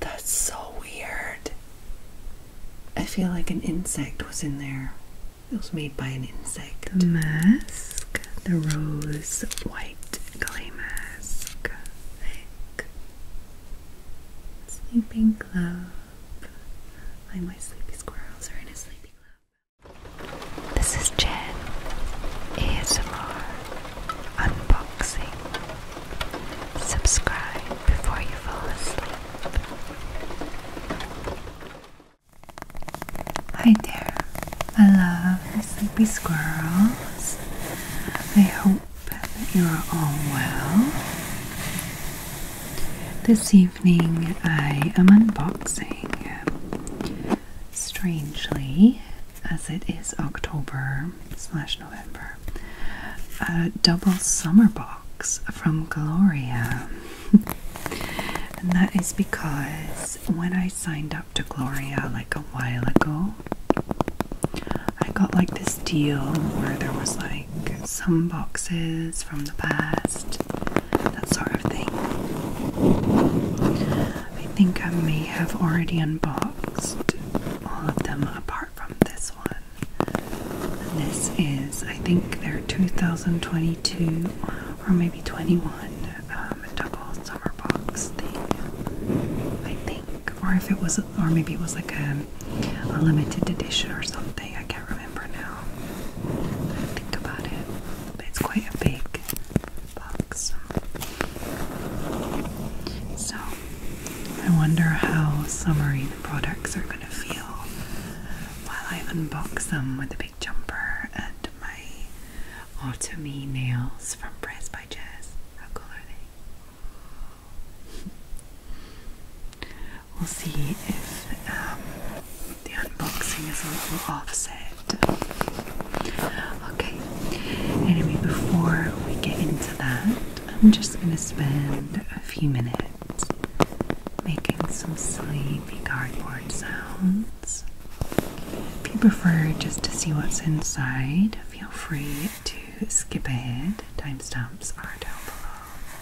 That's so weird. I feel like an insect was in there. It was made by an insect. The mask, the rose white clay mask. Thick. Sleeping clothes. Like my sleepy squirrels are in a sleepy club. This is Jen. ASMR. Unboxing. Subscribe before you fall asleep. Hi there. I love sleepy squirrels. I hope that you are all well. This evening I am unboxing, strangely, as it is October slash November, a double summer box from Gloria. and that is because when I signed up to Gloria like a while ago, I got like this deal where there was like some boxes from the past, that sort of thing. I think I may have already unboxed all of them apart from this one. this is, I think, their 2022 or maybe 21 um, double summer box thing. I think, or if it was a or maybe it was like a, limited edition or something. I can't remember now. Think about it. it's quite a big box. So I wonder how summery the products are going to feel while I unbox them with a big jumper and my autumny nails from Press by Jazz. How cool are they? We'll see if um, the unboxing is a little offset. Okay, anyway, before we get into that, I'm just going to spend a few minutes making some sleepy cardboard sounds. If you prefer just to see what's inside, feel free to skip ahead. Timestamps are down below.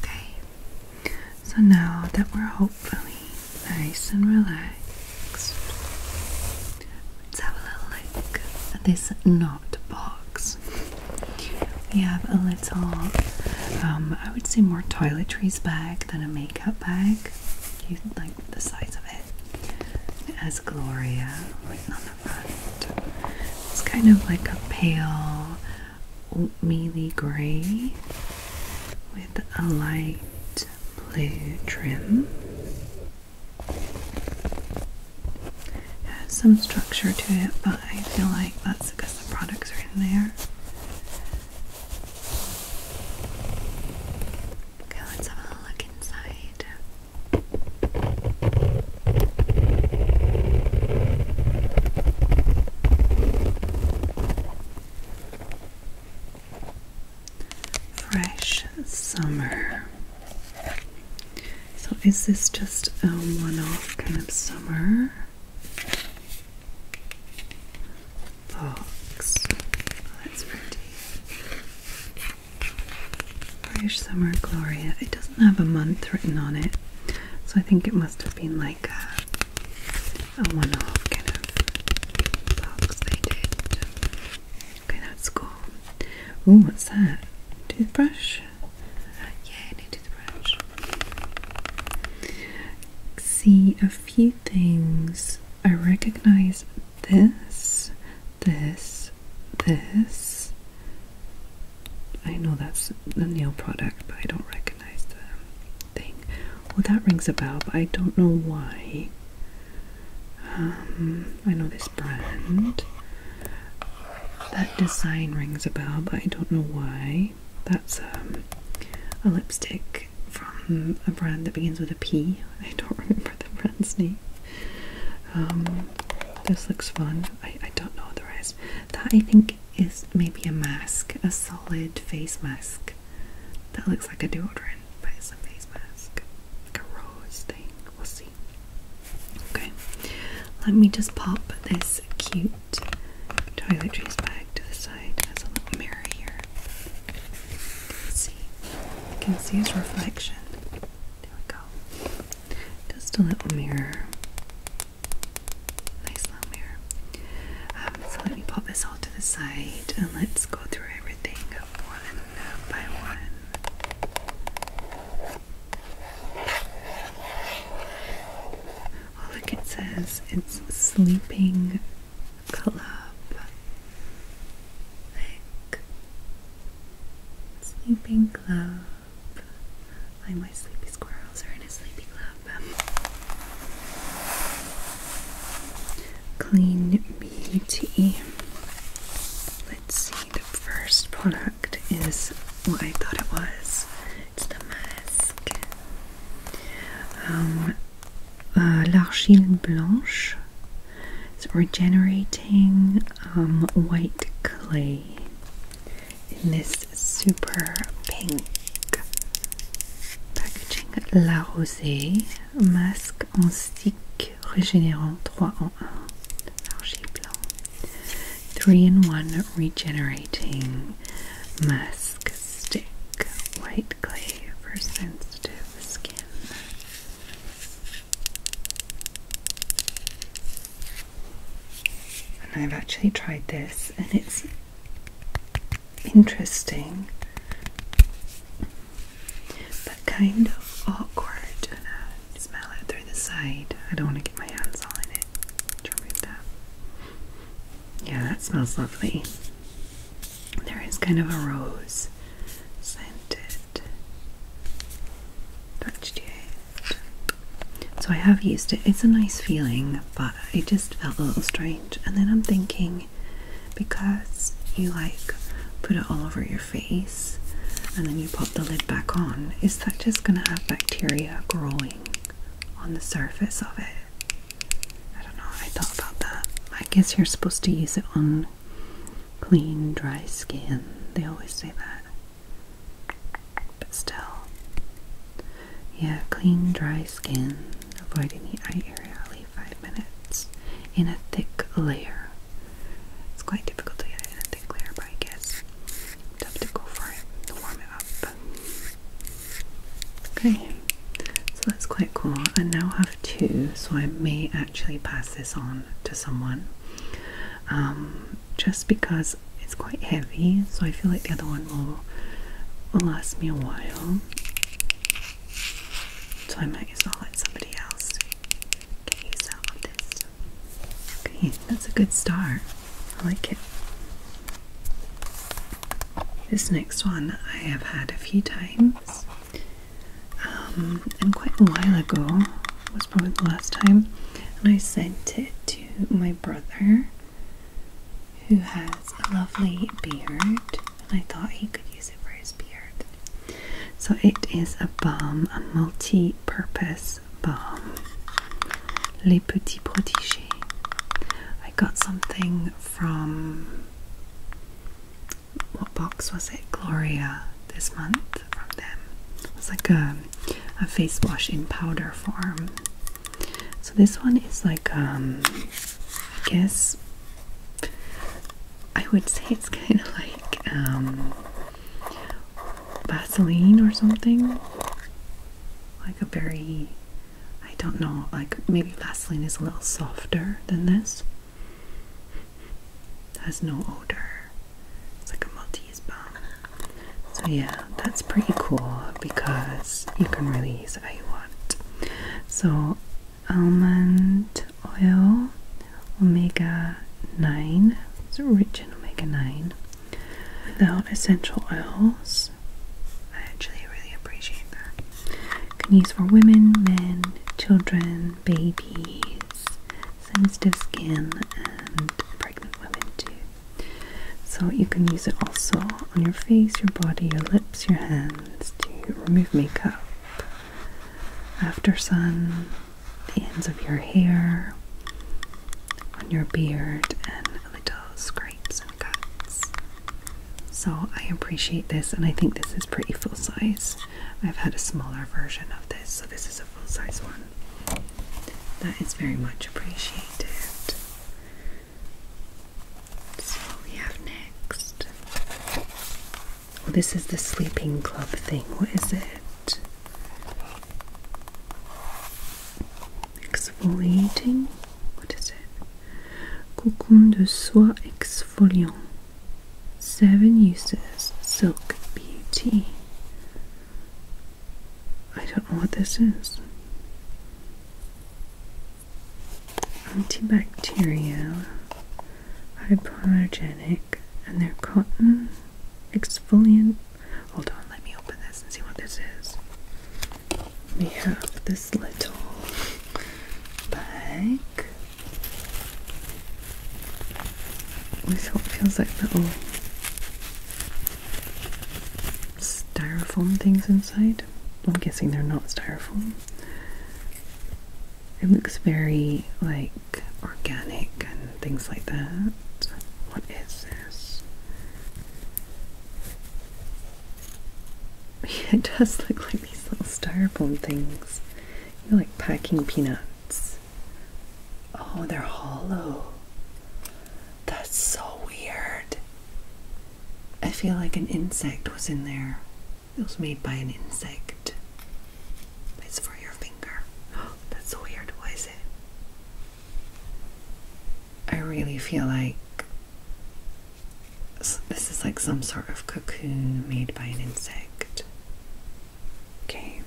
Okay, so now that we're hopefully nice and relaxed, let's have a little look at this not box. We have a little, um, I would say more toiletries bag than a makeup bag. You, like the size of it. It has Gloria written on the front. It's kind of like a pale oatmeal gray with a light blue trim. It has some structure to it, but I feel like that's because the products are in there. Okay, let's have a look inside. Fresh summer. So, is this just a one off kind of summer? Box. that's pretty. British Summer Gloria. It doesn't have a month written on it, so I think it must have been like a, one off kind of box they did. Okay, that's cool. Ooh, what's that? Toothbrush? Yeah, new toothbrush. See a few things. I recognize this, this, this. I know that's the nail product, but I don't recognize the thing. Well, that rings a bell, but I don't know why. Um, I know this brand. That design rings a bell, but I don't know why. That's um, a lipstick from a brand that begins with a P. I don't remember the brand's name. Um, this looks fun. I, don't know the rest. That I think is maybe a mask, a solid face mask. That looks like a deodorant, but it's a face mask. a rose thing. We'll see. Okay. Let me just pop this cute toiletries bag to the side. There's a little mirror here can see, can see his reflection. There we go. Just a little mirror. Nice little mirror. Um, so let me pop this all to the side and let's go through everything one by one. Oh, look, it says it's sleeping club, like sleeping club, like my sleepy squirrels are in a sleepy club. Clean Beauty. Let's see, the first product is what I thought it was. It's the mask. Um, uh, l'argile blanche it's regenerating um, white clay in this super pink packaging. La Rosée, mask en stick régénérant 3 en 1. 3 in 1 regenerating mask stick white clay for sensitive skin. And I've actually tried this, and it's interesting but kind of awkward. And uh, smell it through the side. I don't want to get my hands all in it. Try that. Yeah, that smells lovely. There is kind of a rose scented touch So I have used it. It's a nice feeling, but it just felt a little strange. And then I'm thinking because you like put it all over your face and then you pop the lid back on, is that just going to have bacteria growing on the surface of it? I don't know. I thought about that. I guess you're supposed to use it on clean, dry skin. They always say that. But still. Yeah, clean, dry skin. Avoiding the eye area only five minutes. In a thick layer. It's quite difficult to get it in a thick layer, but I guess have to go for it warm it up. Okay, so that's quite cool. And now how have so I may actually pass this on to someone. Um, just because it's quite heavy, so I feel like the other one will, will last me a while. So I might as well let somebody else get use of this. Okay, that's a good start. I like it. This next one I have had a few times. Um, and quite a while ago was probably the last time, and I sent it to my brother, who has a lovely beard, and I thought he could use it for his beard. So it is a balm, a multi-purpose balm, Les Petits Protégés. I got something from what box was it? Gloria this month from them. It was like a, a face wash in powder form. So this one is like, um, I guess I would say it's kind of like um, Vaseline or something. Like a very, I don't know, like maybe Vaseline is a little softer than this. It has no odor. It's like a Maltese bomb. So yeah, that's pretty cool because you can really use it how you want. So almond oil, omega 9. It's rich in omega 9. Without essential oils. I actually really appreciate that can use for women, men, children, babies, sensitive skin, and pregnant women too. So you can use it also on your face, your body, your lips, your hands to remove makeup, after sun, the ends of your hair, on your beard, and little scrapes and cuts. So I appreciate this, and I think this is pretty full size. I've had a smaller version of this, so this is a full size one. That is very much appreciated. So what we have next. Well, this is the sleeping club thing. What is it? Exfoliating? What is it? Cocoon de soie exfoliant. Seven uses silk beauty. I don't know what this is. Antibacterial, hypoallergenic, and their cotton exfoliant. Hold on, let me open this and see what this is. We have this little bag this what feels like little styrofoam things inside. I'm guessing they're not styrofoam. It looks very like organic and things like that. What is this? it does look like these little styrofoam things. You're like packing peanuts. Oh, they're hollow. That's so weird. I feel like an insect was in there. It was made by an insect. It's for your finger. Oh, that's so weird. Why is it? I really feel like this is like some sort of cocoon made by an insect. Okay,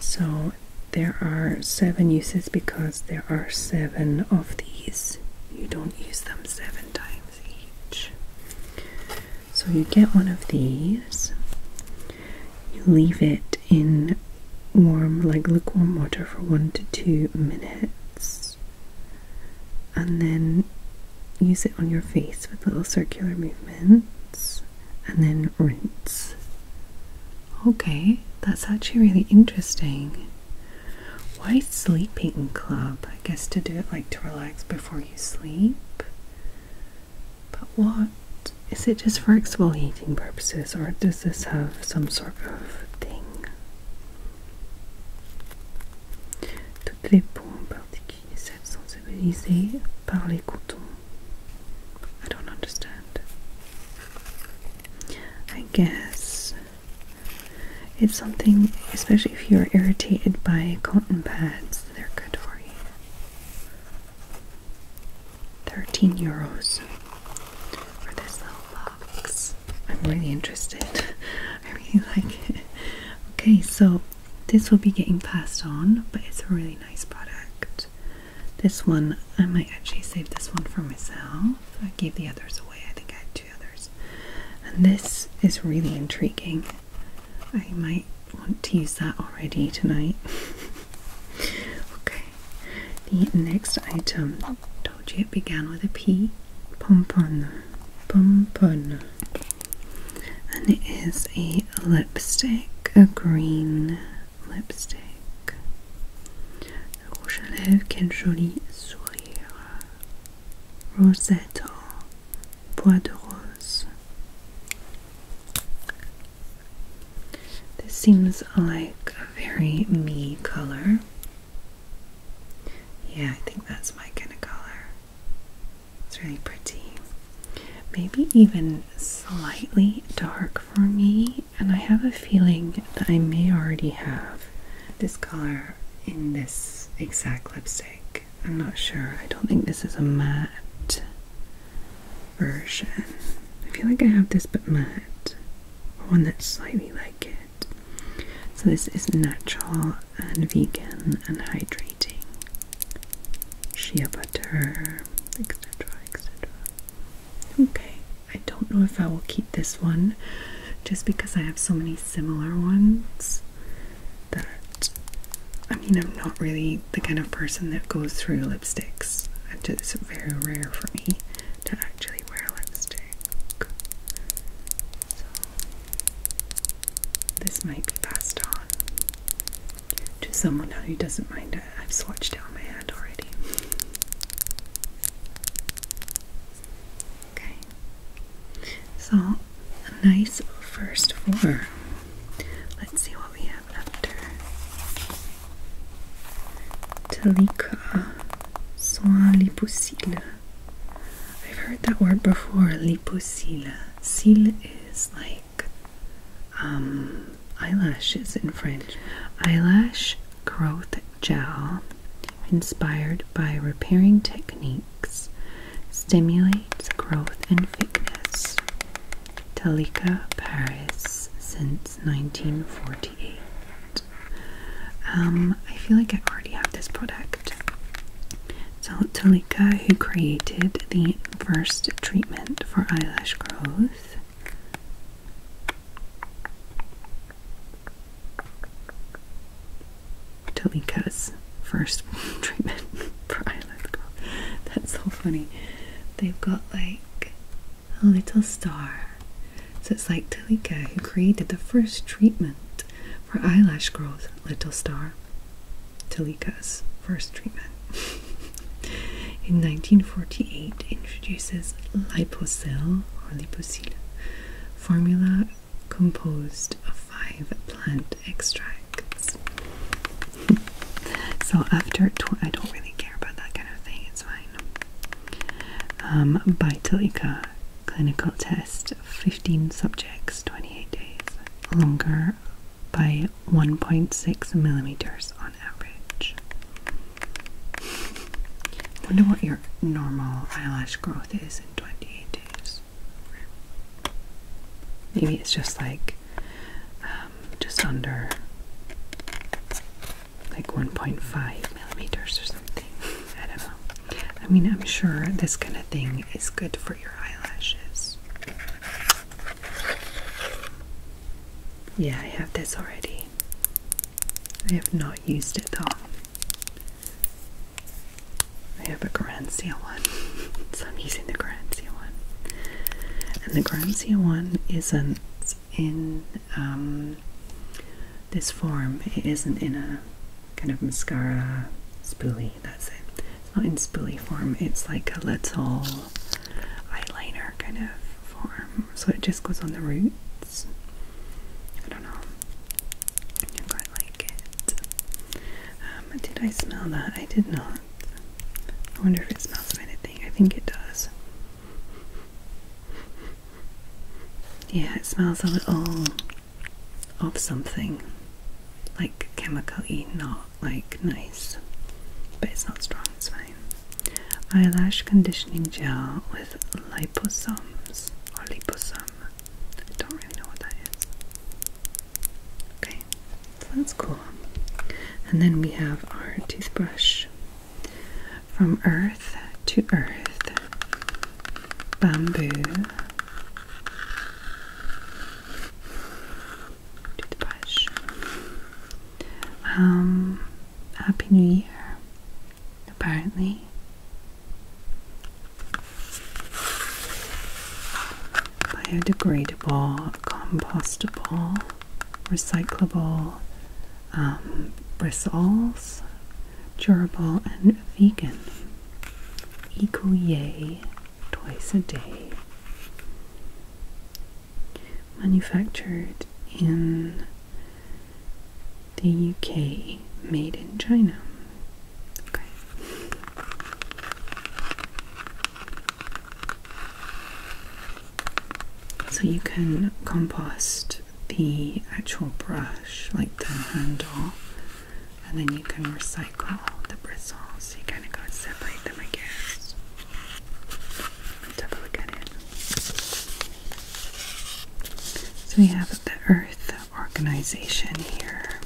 so there are seven uses because there are seven of these. You don't use them seven times each. So you get one of these, you leave it in warm, like lukewarm water for one to two minutes and then use it on your face with little circular movements and then rinse. Okay, that's actually really interesting. Why sleeping club? I guess to do it like to relax before you sleep. But what? Is it just for exfoliating purposes or does this have some sort of thing? All the peaux are particulier, celles sensibilisées par les I don't understand. I guess it's something, especially if you're irritated by cotton pads, they're good for you. 13 euros for this little box. I'm really interested. I really like it. Okay, so this will be getting passed on, but it's a really nice product. This one I might actually save this one for myself. I gave the others away. I think I had two others. And this is really intriguing. I might want to use that already tonight. okay. The next item told you it began with a P. Pompon Bonbon. And it is a lipstick, a green lipstick. Rouge à lèvres, quel joli sourire. Rosette, bois de rose. This seems like a very me color. Yeah, I think that's my kind of color. It's really pretty. Maybe even slightly dark for me, and I have a feeling that I may already have this color in this exact lipstick. I'm not sure. I don't think this is a matte version. I feel like I have this but matte. One that's slightly like it. So this is natural and vegan and hydrating. Shea butter, etc. etc. Okay, I don't know if I will keep this one just because I have so many similar ones that I mean, I'm not really the kind of person that goes through lipsticks. It's very rare for me to actually wear lipstick. So, this might be passed on to someone who doesn't mind I've swatched out my hand already. Okay. So, nice first four. Let's see what we have after. Talika Soin Lipousile. I've heard that word before, liposila. Cile is like um, eyelashes in French. Eyelash growth gel inspired by repairing techniques stimulates growth and thickness. Talika, Paris, since 1948. Um, I feel like I already have this product effect. Zaltalika, who created the first treatment for eyelash growth, Talika's first treatment for eyelash growth. That's so funny. They've got like a little star. So it's like Talika, who created the first treatment for eyelash growth, little star. Talika's first treatment. in 1948 introduces Liposil or Liposil formula composed of five plant extracts. so after I don't really care about that kind of thing, it's fine. Um, by Talika clinical te 15 subjects 28 days longer by 1.6 millimeters on average. wonder what your normal eyelash growth is in 28 days. Maybe it's just like um, just under like 1.5 millimeters or something. I don't know. I mean, I'm sure this kind of thing is good for your eyelashes. Yeah, I have this already. I have not used it though. I have a grand seal one, so I'm using the grand seal one. And the grand seal one isn't in um, this form, it isn't in a kind of mascara spoolie, that's it. It's not in spoolie form, it's like a little eyeliner kind of form. So it just goes on the roots. I don't know. I quite like it. Um, did I smell that? I did not. I wonder if it smells of anything. I think it does. Yeah, it smells a little of something like chemically, not like nice, but it's not strong, it's fine. Eyelash conditioning gel with liposomes or liposome. I don't really know what that is. Okay, that's cool. And then we have our toothbrush from Earth to earth, bamboo to the bush. Um, Happy New Year, apparently. Biodegradable, compostable, recyclable um, bristles, durable, and vegan. Ecoyay twice a day. Manufactured in the UK, made in China. Okay. So you can compost the actual brush, like the handle, and then you can recycle the bristles. You kind of go and separate them, I guess. Let's have a it. So we have the Earth organization here.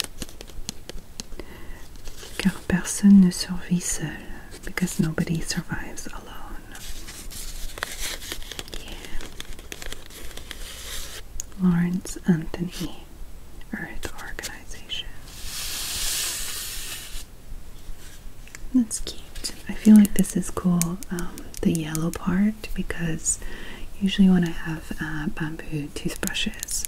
Car personne ne survit seul, because nobody survives alone. Yeah. Lawrence Anthony Earth Organization. That's cute. I feel like this is cool, um, the yellow part, because usually when I have uh, bamboo toothbrushes,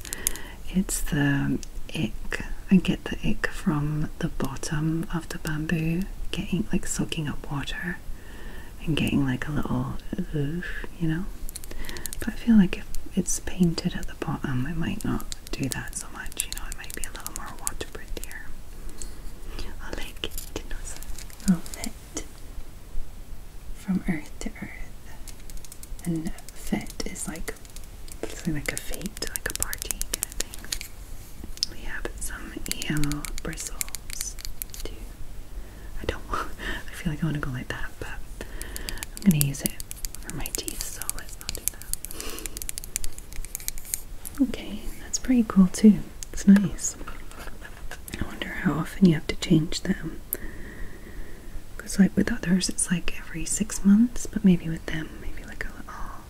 it's the um, ick. I get the ick from the bottom of the bamboo getting like soaking up water and getting like a little oof, you know. But I feel like if it's painted at the bottom, it might not do that so much, you know, it might be a little more waterproof here. I like it, oh, fit from earth to earth, and fit is like something like a fate, like a party kind of thing. We have some yellow bristles too. I don't I feel like I want to go like that, but I'm going to use it for my teeth, so let's not do that. Okay, that's pretty cool too. It's nice. I wonder how often you have to change them. Because like with others, it's like every six months, but maybe with them, maybe like a little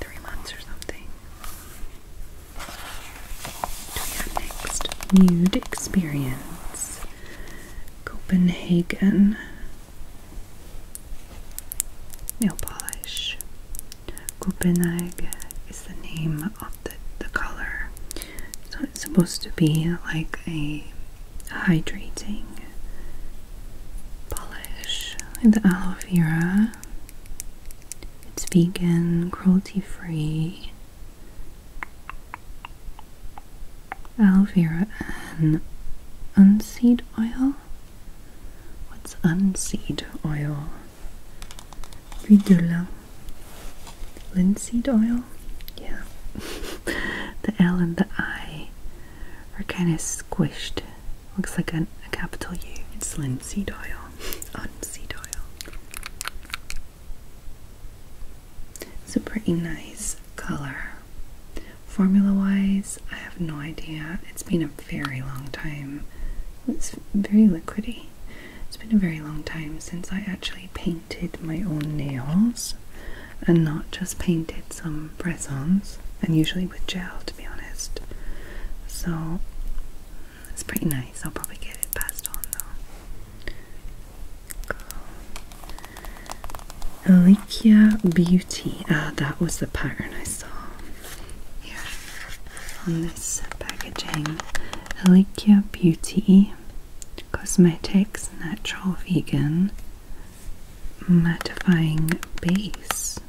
three months or something to your next nude experience. Copenhagen nail polish. Copenhagen is the name of the, the color. So it's supposed to be like a hydrating polish with aloe vera it's vegan, cruelty free. Aloe and unseed oil. What's unseed oil? Huile de Linseed oil? Yeah. the L and the I are kind of squished. Looks like a capital U. It's linseed oil on seed oil. It's a pretty nice color. Formula wise, I have no idea. It's been a very long time. It's very liquidy. It's been a very long time since I actually painted my own nails and not just painted some press and usually with gel to be honest. So it's pretty nice. I'll probably get it passed on though. Cool. Alicia Beauty. Ah, that was the pattern I saw here on this packaging. Alicia Beauty Cosmetics Natural Vegan Mattifying Base.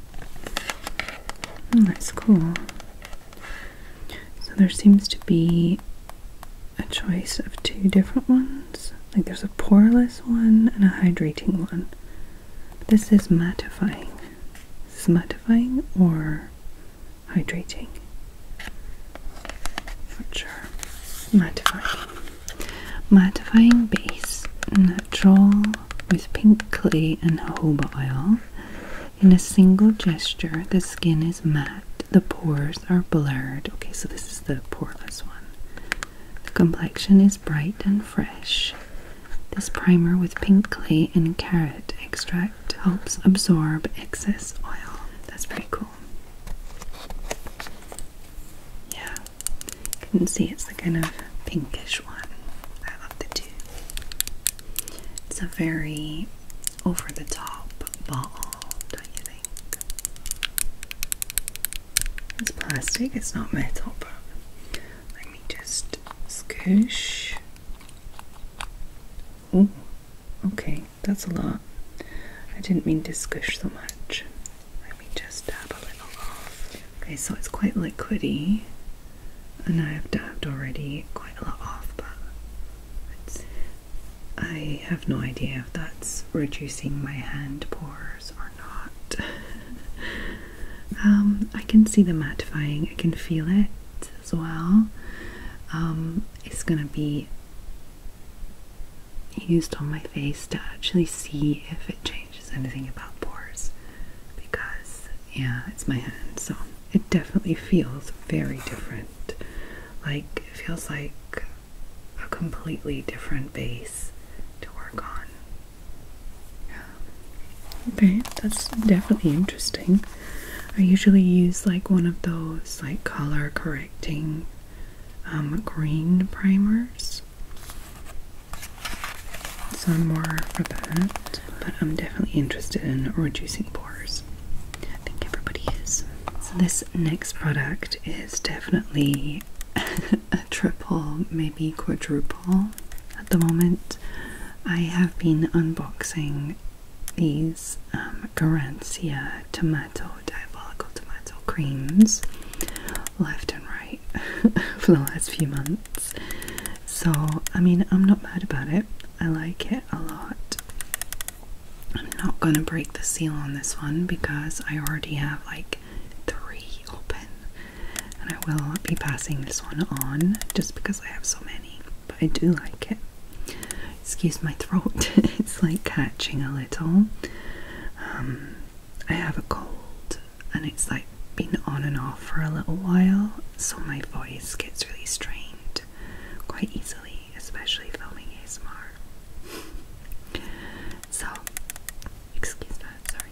Oh, that's cool. So there seems to be a choice of two different ones. Like there's a poreless one and a hydrating one. this is mattifying. Is mattifying or hydrating? Not sure. Mattifying. Mattifying base, natural with pink clay and jojoba oil. In a single gesture, the skin is matte, the pores are blurred. Okay, so this is the poreless one. The complexion is bright and fresh. This primer with pink clay and carrot extract helps absorb excess oil. That's pretty cool. Yeah, you can see it's the kind of pinkish one. I love the it's a very over the top ball, don't you think? It's plastic, it's not metal, let me just scoosh. Oh, okay, that's a lot. I didn't mean to squish so much. Let me just dab a little off. Okay, so it's quite liquidy and I've dabbed already quite a lot off, but I have no idea if that's reducing my hand pores or not. um, I can see the mattifying, I can feel it as well. Um, it's gonna be used on my face to actually see if it changes anything about pores because yeah, it's my hand, so it definitely feels very different. Like it feels like a completely different base to work on. Yeah. Okay, that's definitely interesting. I usually use like one of those like color correcting um, green primers some more for that, but I'm definitely interested in reducing pores. I think everybody is. So this next product is definitely a triple, maybe quadruple. At the moment, I have been unboxing these um, Garancia tomato diabolical tomato creams left and right for the last few months. So, I mean, I'm not mad about it. I like it a lot. I'm not gonna break the seal on this one because I already have like three open, and I will be passing this one on just because I have so many. But I do like it. Excuse my throat, it's like catching a little. Um, I have a cold, and it's like been on and off for a little while, so my voice gets really strained quite easily, especially filming ASMR. so, excuse that, sorry.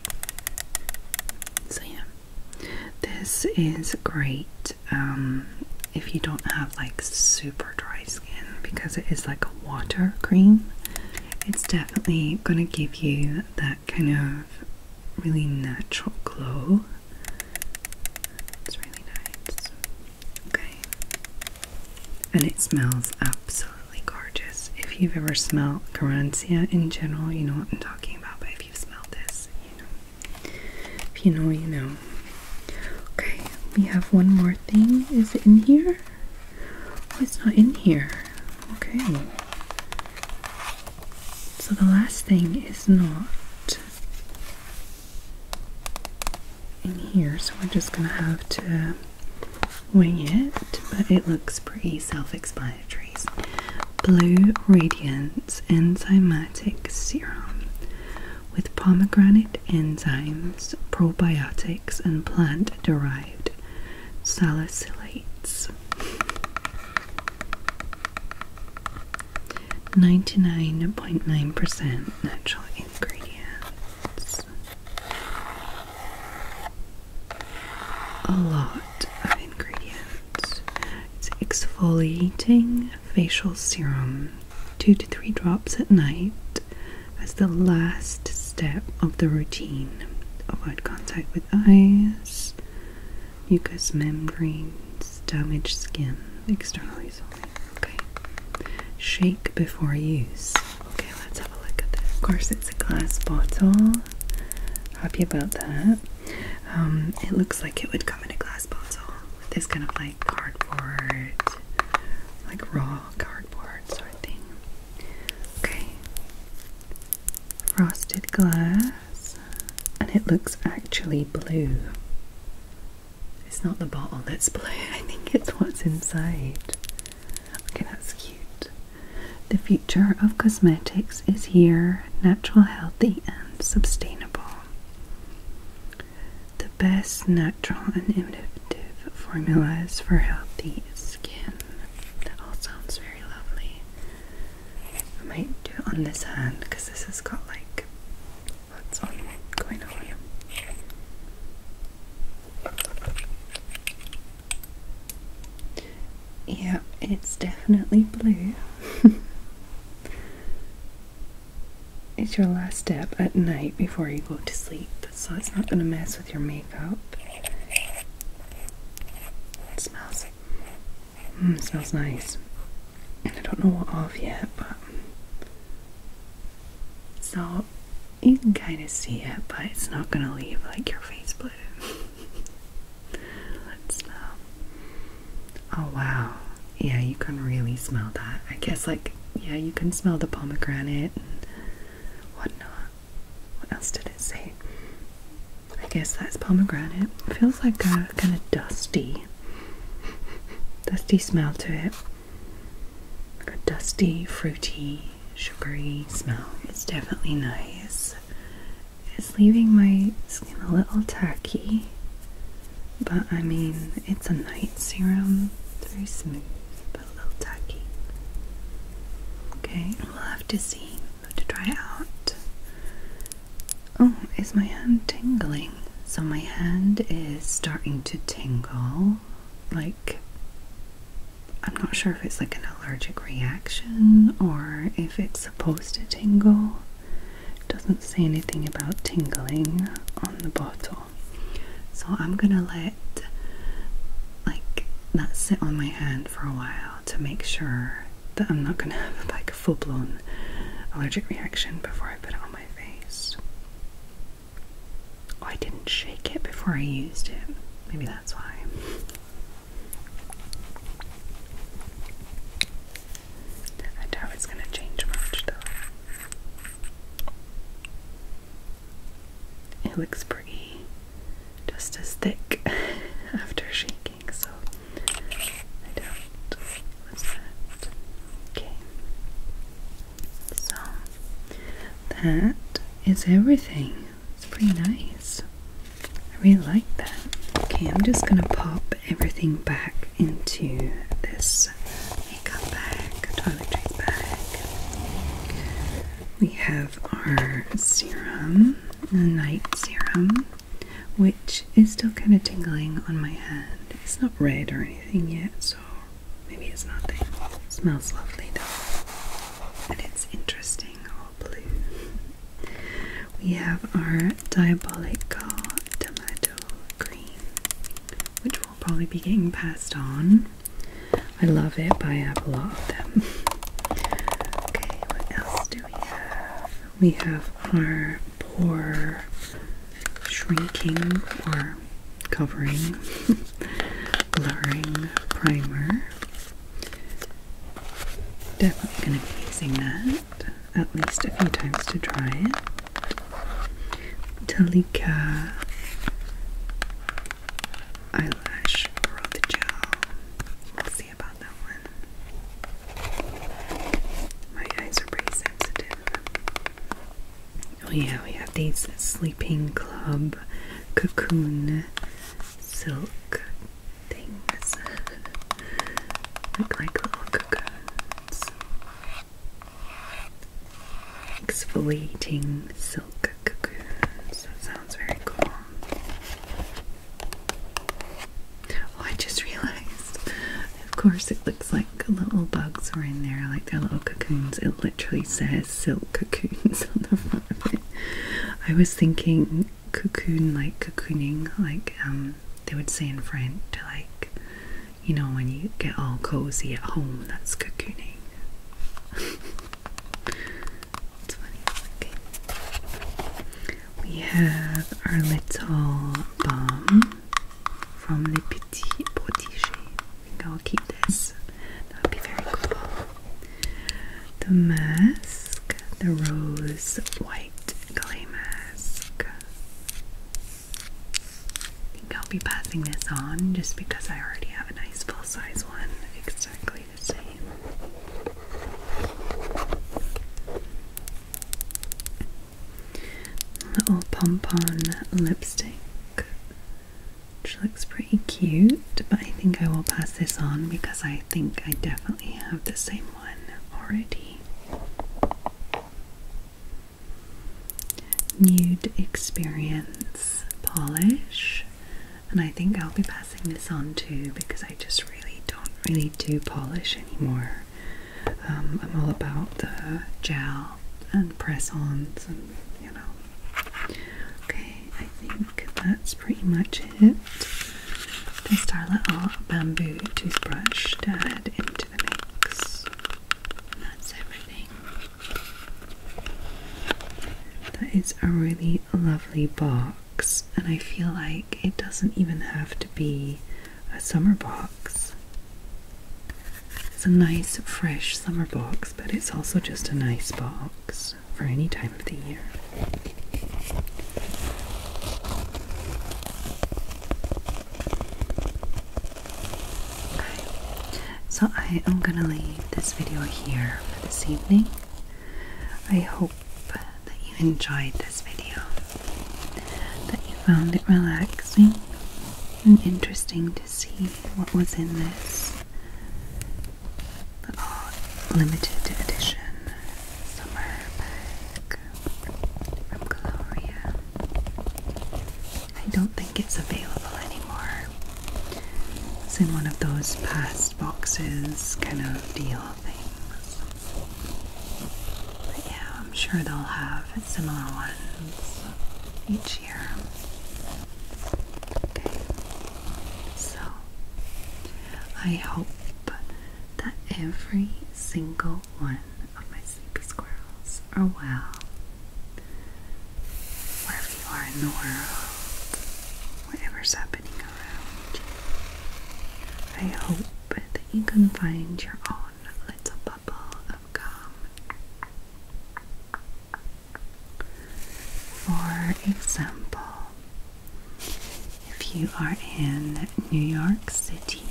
So, yeah, this is great um, if you don't have like super dry skin because it is like a water cream. It's definitely going to give you that kind of really natural glow. It's really nice. Okay. And it smells absolutely gorgeous. If you've ever smelled Garancia in general, you know what I'm talking about, but if you've smelled this, you know. If you know, you know. Okay, we have one more thing. Is it in here? Oh, it's not in here. Okay. So the last thing is not in here, so we're just going to have to wing it, but it looks pretty self-explanatory. Blue Radiance Enzymatic Serum with pomegranate enzymes, probiotics, and plant-derived salicylic 99.9% percent natural ingredients. A lot of ingredients. exfoliating facial serum, two to three drops at night, as the last step of the routine. Avoid contact with eyes mucous membranes, damaged skin, externally solely. Okay. Shake before use. Okay, let's have a look at this. Of course, it's a glass bottle. Happy about that. Um, it looks like it would come in a glass bottle with this kind of like cardboard, like raw cardboard sort of thing. Okay, frosted glass, and it looks actually blue. It's not the bottle that's blue, I think it's what's inside. Okay, that's cute. The future of cosmetics is here natural, healthy, and sustainable. The best natural and innovative formulas for healthy skin. That all sounds very lovely. I might do it on this hand because this has got like lots on going on. Yeah, it's definitely blue. it's your last step at night before you go to sleep, so it's not going to mess with your makeup. smells Mm, smells nice. I don't know what off yet, but so you can kind of see it, but it's not gonna leave like your face blue. Let's smell. Um, oh wow. Yeah, you can really smell that. I guess like yeah, you can smell the pomegranate and whatnot. What else did it say? I guess that's pomegranate. feels like a kind of dusty, dusty smell to it. a dusty, fruity, sugary smell. It's definitely nice. It's leaving my skin a little tacky, but I mean, it's a night serum. very smooth, but a little tacky. Okay, we'll have to see to try out. Oh, is my hand tingling? So, my hand is starting to tingle. Like, I'm not sure if it's like an allergic reaction or if it's supposed to tingle. doesn't say anything about tingling on the bottle. So, I'm gonna let like that sit on my hand for a while to make sure that I'm not going to have like a full blown allergic reaction before I put it on my face. Oh, I didn't shake it before I used it. Maybe that's why. I doubt it's going to change much though. It looks pretty, just as thick after shaking so I don't Okay. So that is everything. It's pretty nice. I really like that. Okay, I'm just gonna pop everything back into this makeup bag, toiletries bag. We have our serum night serum, which is still kind of tingling on my hand. It's not red or anything yet, so maybe it's nothing. smells lovely though, and it's interesting, all blue. We have our diabolical tomato cream, which will probably be getting passed on. I love it, but I have a lot of them. Okay, what else do we have? our poor shrinking or covering, blurring primer. Definitely going to be using that at least a few times to dry it. Talika Eyelash Growth Gel. Oh yeah, we have these Sleeping Club cocoon silk things. Look like little cocoons. Exfoliating silk cocoons. sounds very cool. Oh, I just realized. Of course, it looks like little bugs were in there, like their little cocoons. It literally says silk cocoons on the front of it. I was thinking cocoon, like cocooning, like um, they would say in French, like you know, when you get all cozy at home, that's cocooning. We have our little bomb from Le Petit Protégé. I think I'll keep this. That would be very cool. The mask, the rose white clay mask. I think I'll be passing this on just because I already have a nice full size one. Exactly Little pom pom lipstick, which looks pretty cute, but I think I will pass this on because I think I definitely have the same one already. Nude Experience Polish and I think I'll be passing this on too because I just really don't really do polish anymore. Um, I'm all about the gel and press-ons and you know. Okay, I think that's pretty much it. This Starlet Bamboo toothbrush to add into the mix. That's everything. That is a really lovely box and I feel like it doesn't even have to be a summer box. It's a nice, fresh summer box, but it's also just a nice box for any time of the year. Okay, so I am gonna leave this video here for this evening. I hope that you enjoyed this video, that you found it relaxing and interesting to see what was in this limited edition summer bag from Gloria. I don't think it's available anymore. It's in one of those past boxes kind of deal things. yeah, I'm sure they'll have similar ones each year. Okay, so I hope that every single one of my sleepy squirrels are well. Wherever you are in the world, whatever's happening. I hope that you can find your own little bubble of calm. For example, if you are in New York City,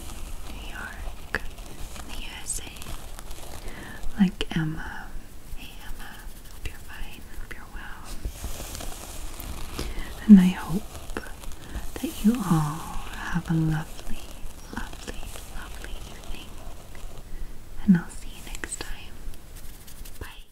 New York, in the USA, like Emma, Emma, Hope you're fine. Hope you're well. And I hope that you all have a lovely, lovely, lovely evening. And I'll see you next time. Bye.